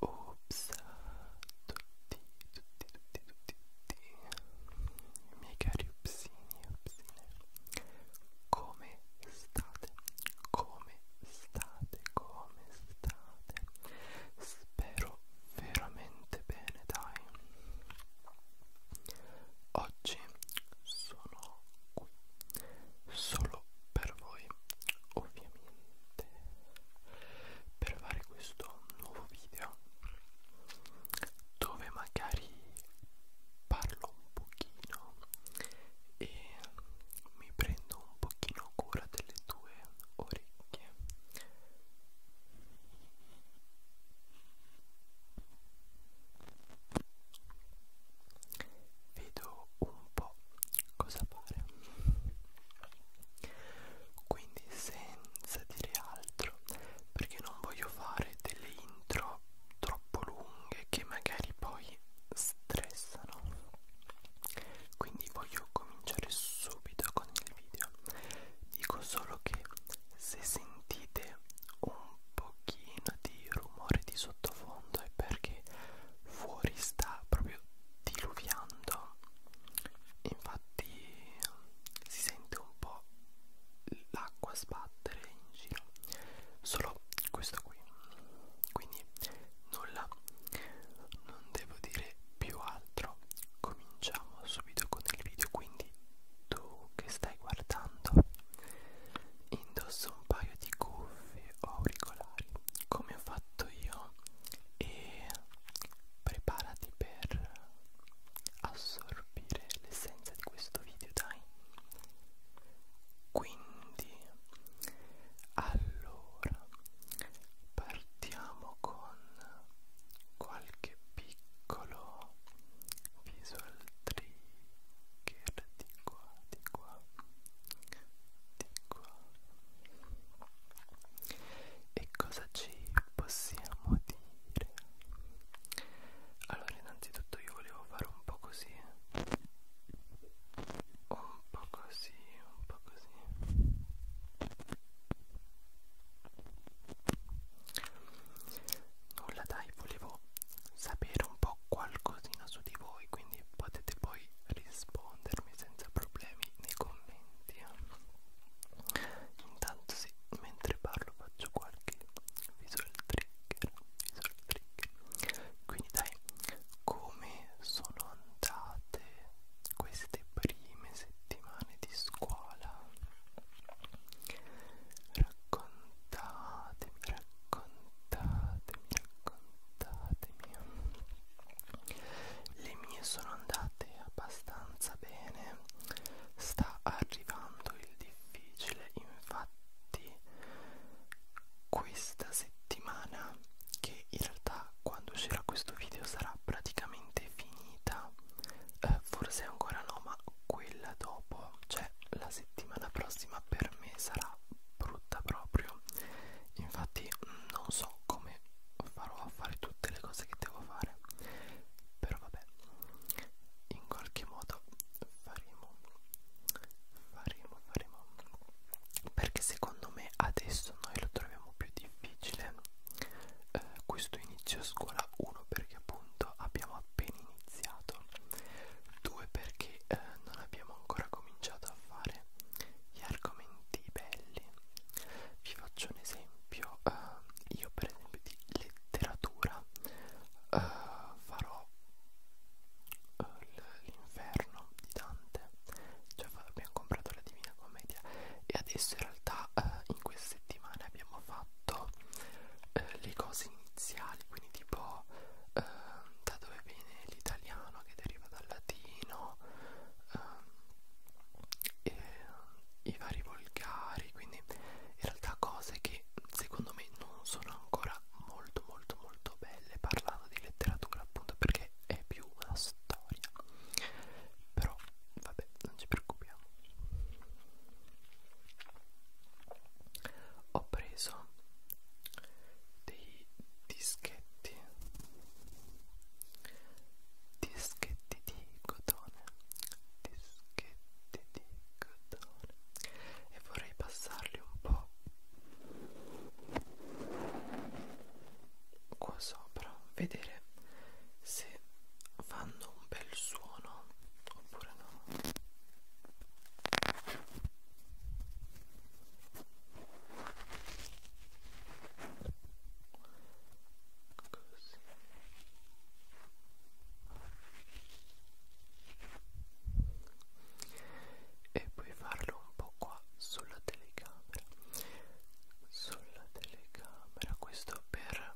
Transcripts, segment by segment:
Ops, tutti, tutti, tutti, tutti, tutti, i miei cari upsini, upsine, come state? Come state? come state? Spero veramente bene, dai. Oggi sono qui solo per voi, ovviamente, per fare questo nuovo video dove magari parlo un pochino e mi prendo un pochino cura delle tue ore orecchie vedo un po' cosa fare quindi senza dire altro perché non voglio fare delle intro troppo lunghe che magari poi stressano quindi voglio cominciare subito con il video dico solo che se sentite un pochino di rumore di sottofondo è perché fuori sta proprio diluviando infatti si sente un po' l'acqua sbattere in giro solo questo qui quindi nulla non devo dire più altro cominciamo subito con il video quindi tu che stai guardando indosso un paio di cuffie o auricolari come ho fatto io e preparati per assorbire l'essenza di questo video dai quindi allora, partiamo con qualche piccolo visual trigger di qua, di qua, di qua. E cosa ci possiamo dire? Allora, innanzitutto io volevo fare un po' così. Un po' così, un po' così nulla dai volevo sapere un po' qualcosina su di voi quindi potete poi rispondermi senza problemi nei commenti intanto sì mentre parlo faccio qualche visual trigger visual trigger quindi dai come sono andate queste prime settimane di scuola raccontatemi raccontatemi raccontatemi le mie sono andate abbastanza bene sta arrivando il difficile infatti questa settimana che in realtà quando uscirà questo video sarà praticamente finita eh, forse ancora no ma quella dopo cioè la settimana prossima per me sarà brutta proprio infatti non so come farò a fare tutte le cose che devo fare però vabbè in qualche modo faremo faremo, faremo perché secondo me adesso noi lo troviamo più difficile eh, questo inizio scuola 1 perché appunto abbiamo appena iniziato 2 perché eh, non abbiamo ancora cominciato a fare gli argomenti belli vi faccio un esempio eh, io per esempio di letteratura eh, farò eh, Inferno di Dante già cioè, abbiamo comprato la Divina Commedia e adesso in realtà eh, in queste settimane abbiamo fatto eh, le cose iniziali quindi tipo eh, da dove viene l'italiano che deriva dal latino eh, i vari volgari quindi in realtà cose che secondo me non sono ancora molto molto molto belle parlando di letteratura appunto perché è più una storia però vabbè non ci preoccupiamo ho preso dei dischetti dischetti di cotone dischetti di cotone e vorrei passarli un po' qua sopra vedere se fanno un bel suono oppure no Così e puoi farlo un po' qua sulla telecamera sulla telecamera questo per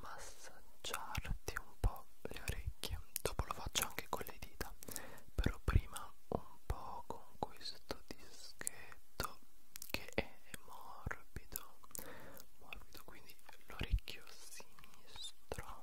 massaggiarti un po' le orecchie dopo lo faccio anche con le dita però prima un po' con questo dischetto che è morbido morbido quindi l'orecchio sinistro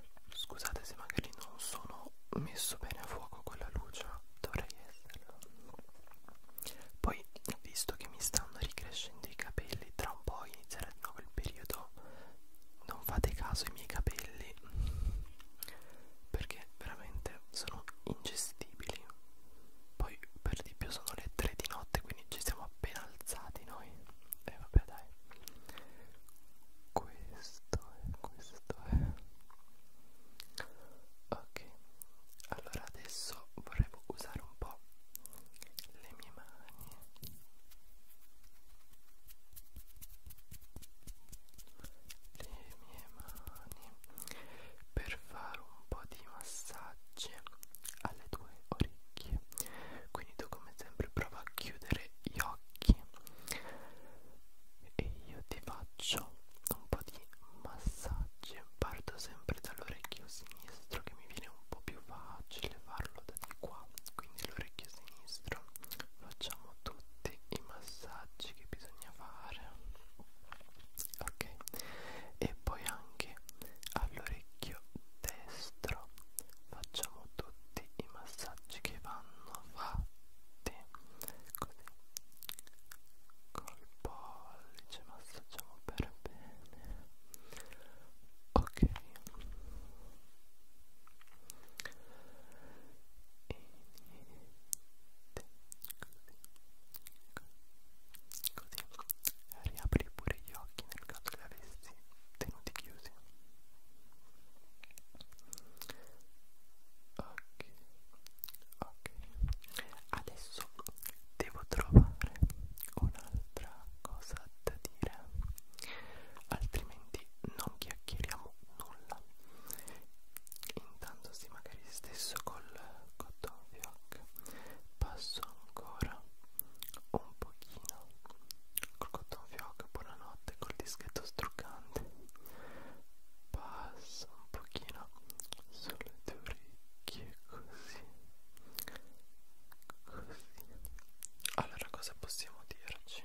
Scusate se magari non sono messo bene a fuoco con la luce, dovrei esserlo. Poi, visto che mi stanno ricrescendo i capelli, tra un po' inizierà di nuovo il periodo. Non fate caso ai miei capelli perché veramente sono ingestibili. Poi, per di più, sono le 3 di notte, quindi ci siamo appena alzati noi e eh, vabbè dai questo è questo è ok allora adesso vorremmo usare un po' le mie mani le mie mani per fare un po' di massaggi alle tue orecchie quindi tu come sempre prova a chiudere gli occhi e io ti faccio un po' di massaggi parto sempre dall'orecchio sinistro che mi viene un po' più facile farlo da di qua quindi l'orecchio sinistro facciamo tutti i massaggi che bisogna fare ok e poi anche all'orecchio destro facciamo tutti i massaggi che vanno fatti così col pollice massaggiamo per bene ok e niente così così riapri pure gli occhi nel caso li avessi tenuti chiusi ok ok adesso devo trovare un'altra cosa da dire altrimenti non chiacchieriamo nulla intanto sì magari stesso col cotton fioc passo ancora un pochino col cotton fioc, buonanotte, col dischetto struccante. Passa un pochino sulle tue orecchie, così, così. Allora, cosa possiamo dirci?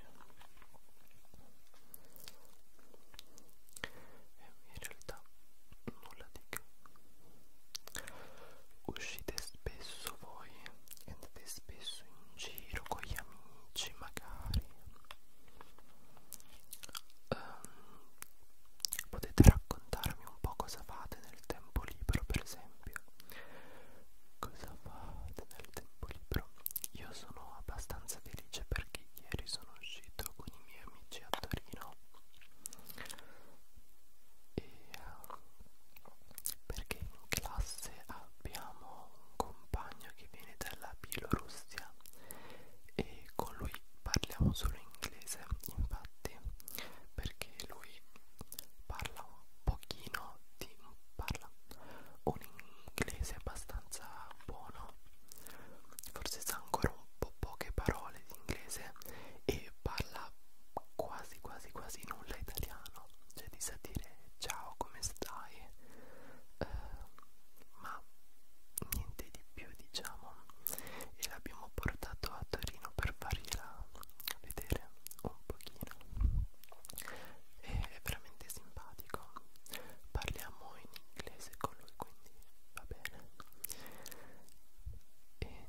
Eh, in realtà nulla di che uscite spesso voi andate spesso in giro con gli amici magari um, potete raccontarmi un po' cosa fate nel tempo libero per esempio cosa fate nel tempo libero io sono abbastanza felice perché ieri sono uscito con i miei amici a Torino e, uh, perché in classe abbiamo un compagno che viene dalla Bielorussia e con lui parliamo solo inglese infatti perché lui parla un pochino di parla un inglese abbastanza buono forse sa ancora un po' poche parole di inglese e parla quasi quasi quasi nulla italiano cioè ti sa dire ciao come stai eh, ma niente di più diciamo e l'abbiamo portato a Torino per fargliela vedere un pochino e è veramente simpatico parliamo in inglese con lui quindi va bene e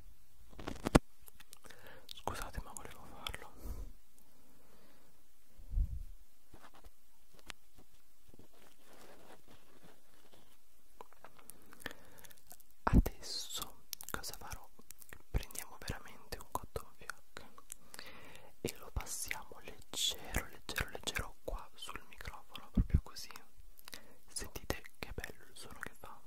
Scusate ma volevo farlo. Adesso cosa farò? Prendiamo veramente un cotton fioc e lo passiamo leggero, leggero, leggero qua sul microfono, proprio proprio così sentite che bello il suono che fa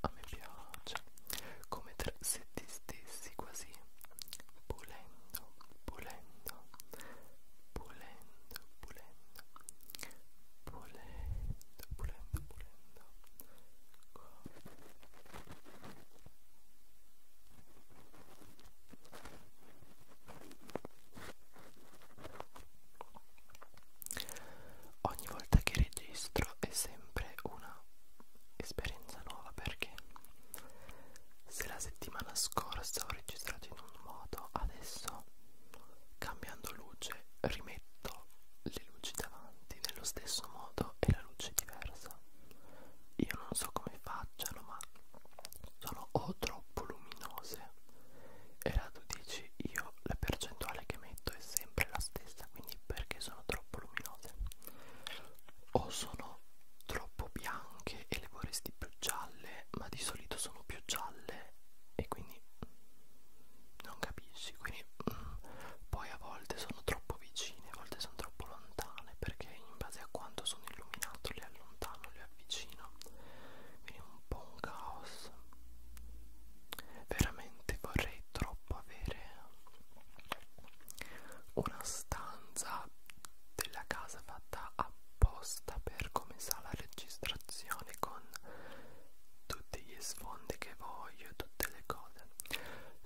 a me piace come se ti stessi quasi pulendo pulendo pulendo pulendo pulendo, pulendo, pulendo qua ogni volta che registro è sempre una esperienza nuova perché se la settimana scorsa ho registrato in un modo adesso Cambiando luce rimetto le luci davanti nello stesso modo e la luce diversa. Io non so come facciano, ma sono o troppo luminose e la tu dici io la percentuale che metto è sempre la stessa, quindi perché sono troppo luminose? O sono troppo bianche e le vorresti più gialle, ma di solito sono più gialle e quindi non capisci quindi mm, poi a volte sono troppo vicine a volte sono troppo lontane perché in base a quanto sono illuminato le allontano le avvicino quindi è un po' un caos veramente vorrei troppo avere una stanza della casa fatta apposta per come sa la registrazione illustrazioni con tutti gli sfondi che voglio e tutte le cose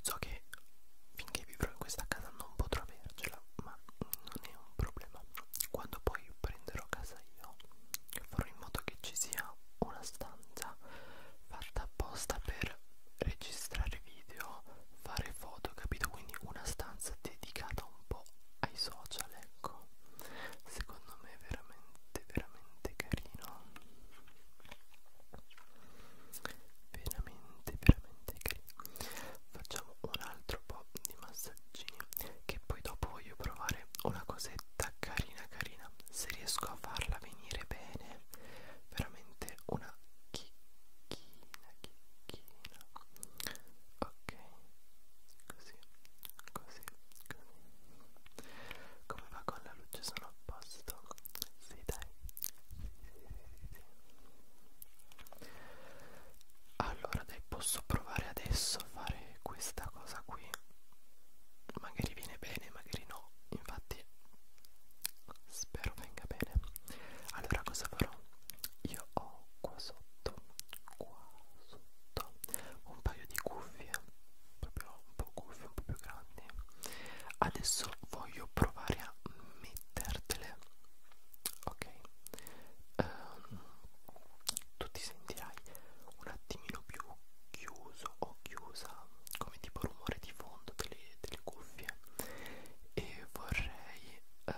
so che finché vivrò in questa casa non potrò avercela ma non è un problema quando poi prenderò casa io farò in modo che ci sia una stanza fatta apposta per registrare video fare foto capito quindi una stanza dedicata un po' ai social ecco però secondo me è veramente veramente carino veramente veramente carino facciamo un altro po' di massaggini che poi dopo voglio provare una cosetta carina carina se riesco a farla venire bene veramente una chicchina chicchina ok ok così così così come va con la luce sono a posto sì dai sì, sì, sì. allora dai posso provare adesso a fare questa cosa qui magari viene bene magari no infatti spero venga bene allora cosa farò io ho qua sotto qua sotto ho un paio di cuffie proprio un po' cuffie un po' più grandi adesso voglio provare a mettertele ok um, tu ti sentirai un attimino più chiuso o chiusa come tipo rumore di fondo delle, delle cuffie e vorrei um,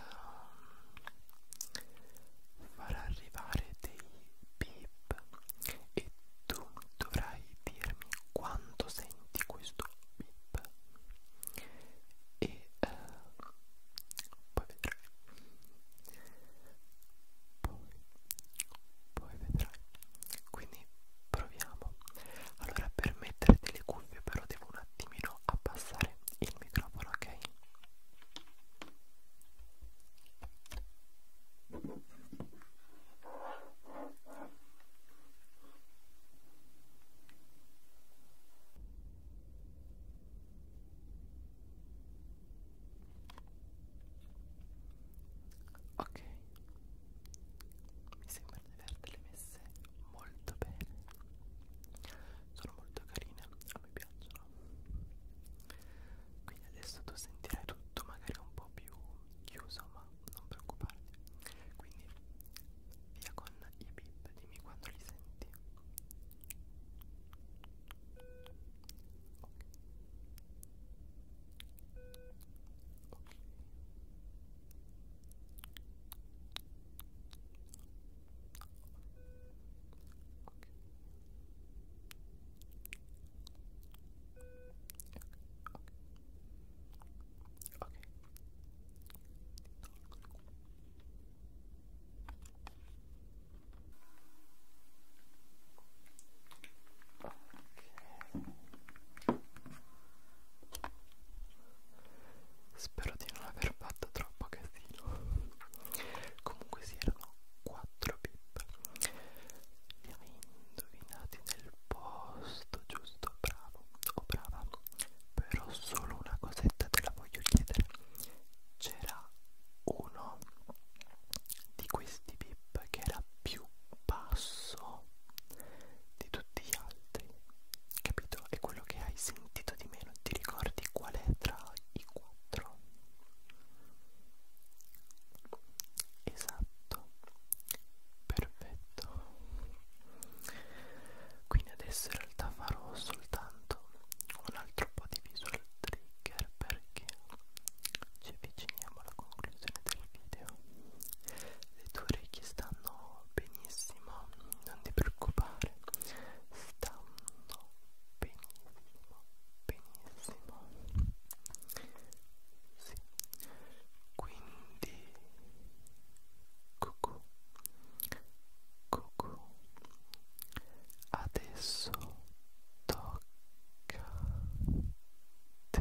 far arrivare dei beep e tu dovrai dirmi quanto senti questo beep e eh, poi vedrai poi, poi vedrai quindi proviamo allora per mettere delle cuffie però devo un attimino abbassare anche il microfono, ok? Ok, mi sembra di averle messe molto bene, sono molto carine, a me piacciono. Quindi adesso tu sentirai tutto magari un po' più chiuso, ma non preoccuparti. Quindi via con i bip, dimmi quando li senti. Ok. Ok. Ok. Spero di non aver fatto troppo casino comunque si sì, erano 4 pip li hai indovinati nel posto giusto bravo o oh, brava però solo una cosetta te la voglio chiedere c'era uno di questi pip che era più basso di tutti gli altri capito? è quello che hai sentito sentito di meno, ti ricordi qual è tra i quattro? Esatto, perfetto. Quindi adesso in realtà farò soltanto un altro po' di visual trigger perché ci avviciniamo alla conclusione del video. Le tue orecchie stanno benissimo non ti preoccupare stanno benissimo benissimo sì quindi cucù cucù adesso tocca te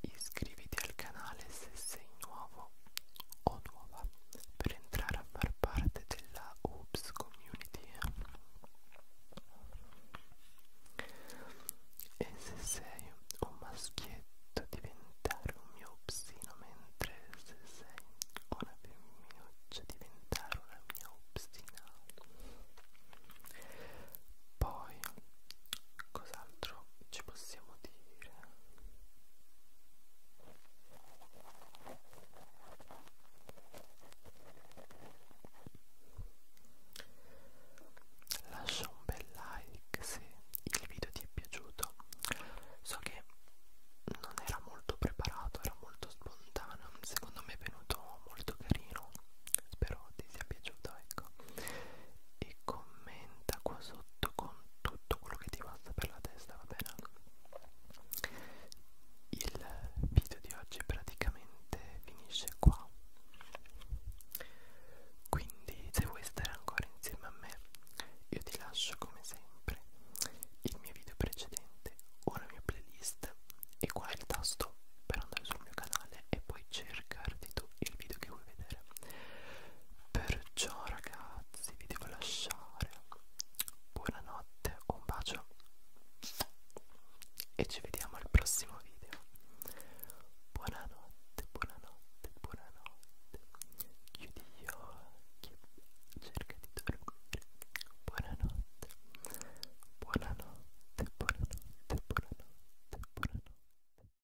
iscriviti al canale se sei nuovo o nuova per entrare a far parte della Oops Community e se sei un maschietto diventare un mio upsino mentre se sei una femminuccia diventare una mia upsina poi cos'altro ci possiamo dire lascia un bel like se il video ti è piaciuto so che non era molto preparato era molto spontaneo secondo me è venuto molto carino spero ti sia piaciuto ecco ecco e commenta qua sotto con tutto quello che ti passa per la testa va bene il video di oggi praticamente finisce qua quindi se vuoi stare ancora insieme a me io ti lascio come sempre il mio video precedente o la mia playlist e qua è il tasto per andare sul mio canale e poi cercarti tu il video che vuoi vedere Perciò ragazzi vi devo lasciare Buonanotte, un bacio E ci vediamo al prossimo video Buonanotte, buonanotte, buonanotte Chiudi gli occhi Cerca di dormire Buonanotte Buonanotte, buonanotte, buonanotte, buonanotte